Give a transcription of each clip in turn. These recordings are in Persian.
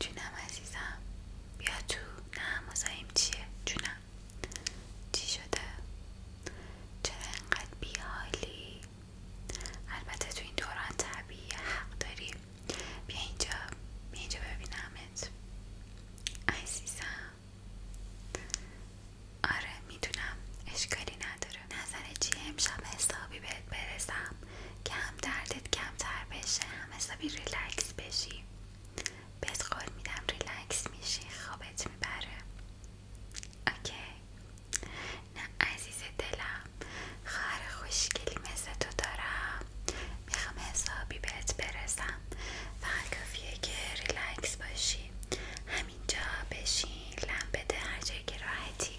جونم عزیزم بیا تو نه چیه جونم چی شده چرا انقدر بیحالی البته تو این دوران طبیعی حق داری بیا اینجا بیا اینجا ببینمت عزیزم آره میدونم اشکالی نداره نظر چیه امشب حسابی بهت برسم کم دردت کمتر بشه هم حسابی ریلکس بشی بهت قول میدم ریلکس میشی خوابت میبره اوکی نه عزیز دلم خواهر خوشگلی مثل تو دارم میخوام حسابی بهت برسم فقط کافیه که ریلکس باشی همینجا بشین لم بده هر جایی که راحتی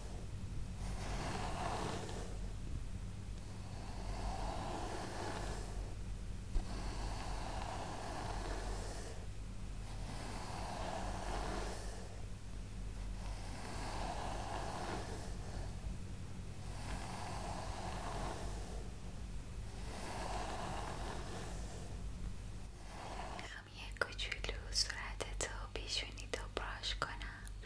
میخوام خب، یه کوچولو صورتتو پیشونیتو براش کنم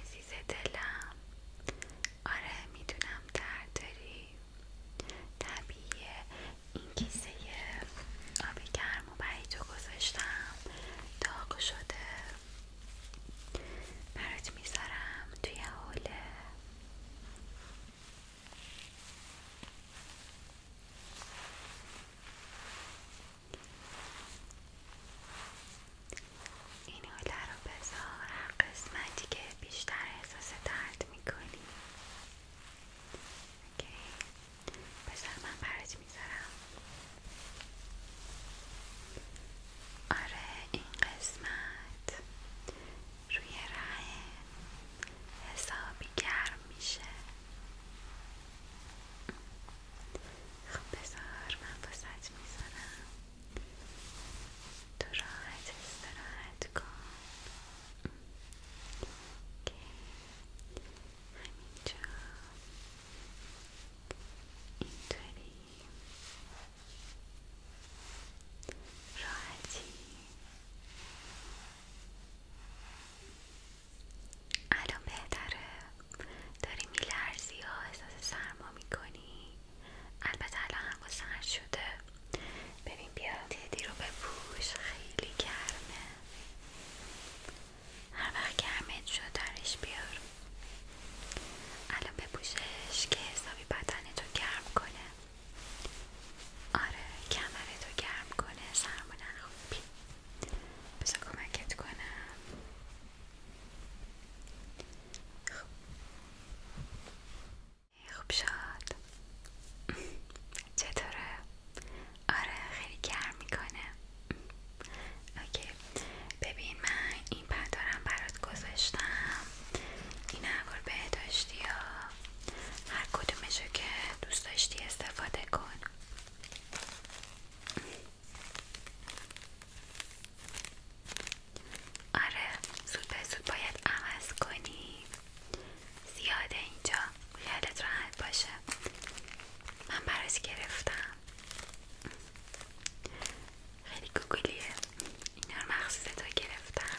عزیز دلم آره میدونم درداری طبیعی این کیسه آب گرم و تو گذاشتم داغ شده برات میذارم توی حوله این حوله رو بذار هر قسمتی که بیشتر احساس درد میکنی اوکی من برات میذارم آره این قسمت روی راه حسابی گرم میشه خب بذار من واسط میذارم تو راحت استراحت کن که همینجا اینطوری راحتی الان بهتره داری میلرزی ها احساس سرما میکنی البته الان هوا سرد شده ببین بیا دیدی رو بپوش خیلی گرمه هر وقت گرمت شد درش بیار الان بپوشش که حسابی بدنتو گرم کنه آره کمرتو گرم کنه سرما نخوبی پس کمکت کنم خب خوب شد چطوره؟ آره خیلی گرم میکنه اوکی ببین من این پندارم برات گذاشتم این اول بهداشتی ها هر کدومشو که دوست داشتی استفاده کن آره زود به زود باید عوض کنی زیاده اینجا خیالت راحت باشه من براش گرفتم خیلی این اینا رو تو گرفتم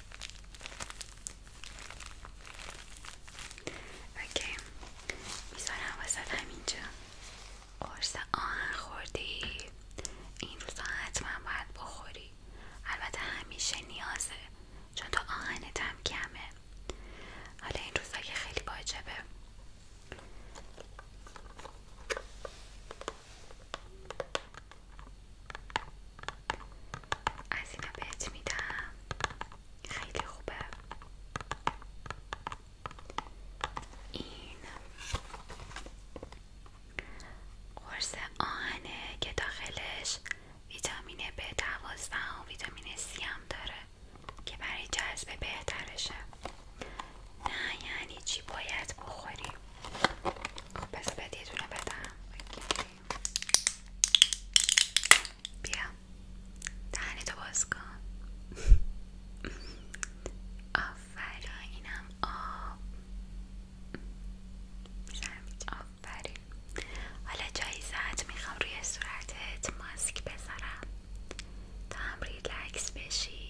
اوکی میذارم وسط همینجا قرص آهن خوردی این روزا حتما باید بخوری البته همیشه نیازه چون تو آهن کمه حالا این روزا که خیلی واجبه از اینا بهت میدم خیلی خوبه این قرص آهنه که داخلش ویتامین به دواز و ویتامین سی هم داره که برای جذب بهترشه نه یعنی چی باید بخوریم خب بس بعد بدم بیا دهنی تو باز کن آفرا اینم آب آفرین حالا جایزت میخوام روی صورتت ماسک بذارم تا هم ریلکس بشی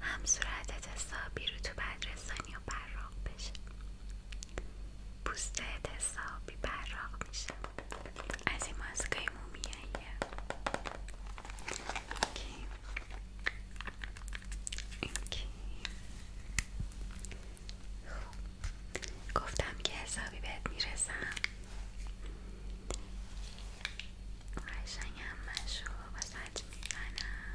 هم صورتت حسابی رو تو رسانی و براق بشه پوستت حسابی براق میشه از این ماسکای مومیاییه اوکی اوکی خب. گفتم که حسابی بهت میرسم قشنگ و سج میزنم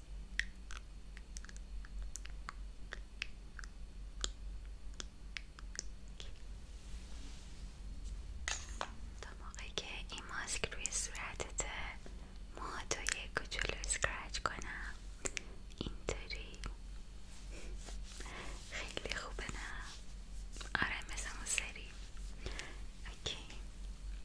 تا موقعی که این ماسک روی صورتت موهاتو یه کوچولو اسکرچ کنم اینطوری خیلی خوبه نه آره مثل سری اوکی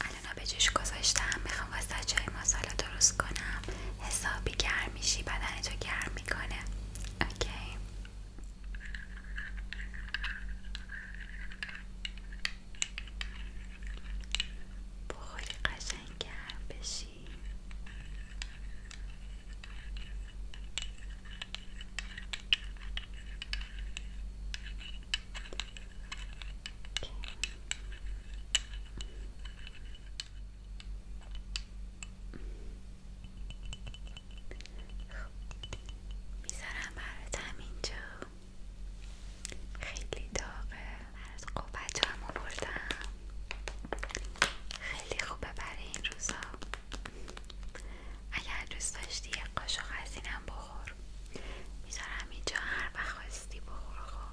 الان ها به جوش گذاشتم میخوام واسه چای مساله درست کنم حسابی گرمیشی بدن رو گرم میکنه اوکی بخوری قشنگ گرم بشی اوکی. میذارم براتم اینجا خیلی داغه از قوت هم خیلی خوبه برای این روزا اگر دوست داشتی یک قاشق از اینم بخور میذارم اینجا هر وقت خواستی بخور خب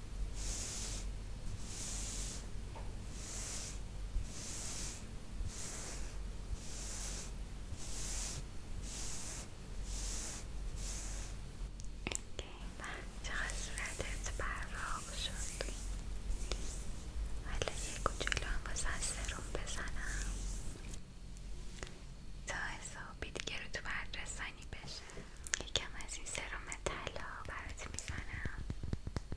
چقدر صورتت براق شد حالا یک کوچولو هم واسه سرم بزنم تا حسابی دیگه رو تو بردرسانی بشه یکم از این سرم طلا برات میزنم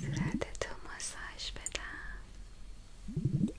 صورت تو ماساژ بدم اوکی.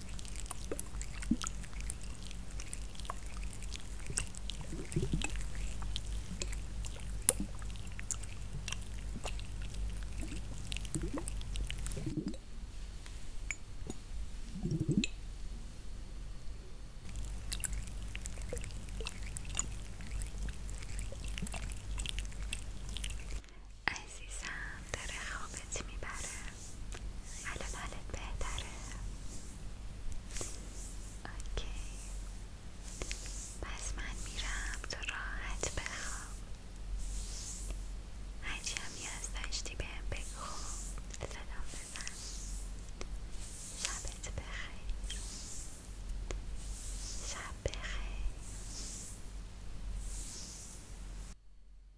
عزیزم داره خوابت میبره حالا حالت بهتره اوکی پس من میرم تو راحت بخواب هرچی همی از داشتی بهم بگو صدام بزن شبت بخیر شب بخیر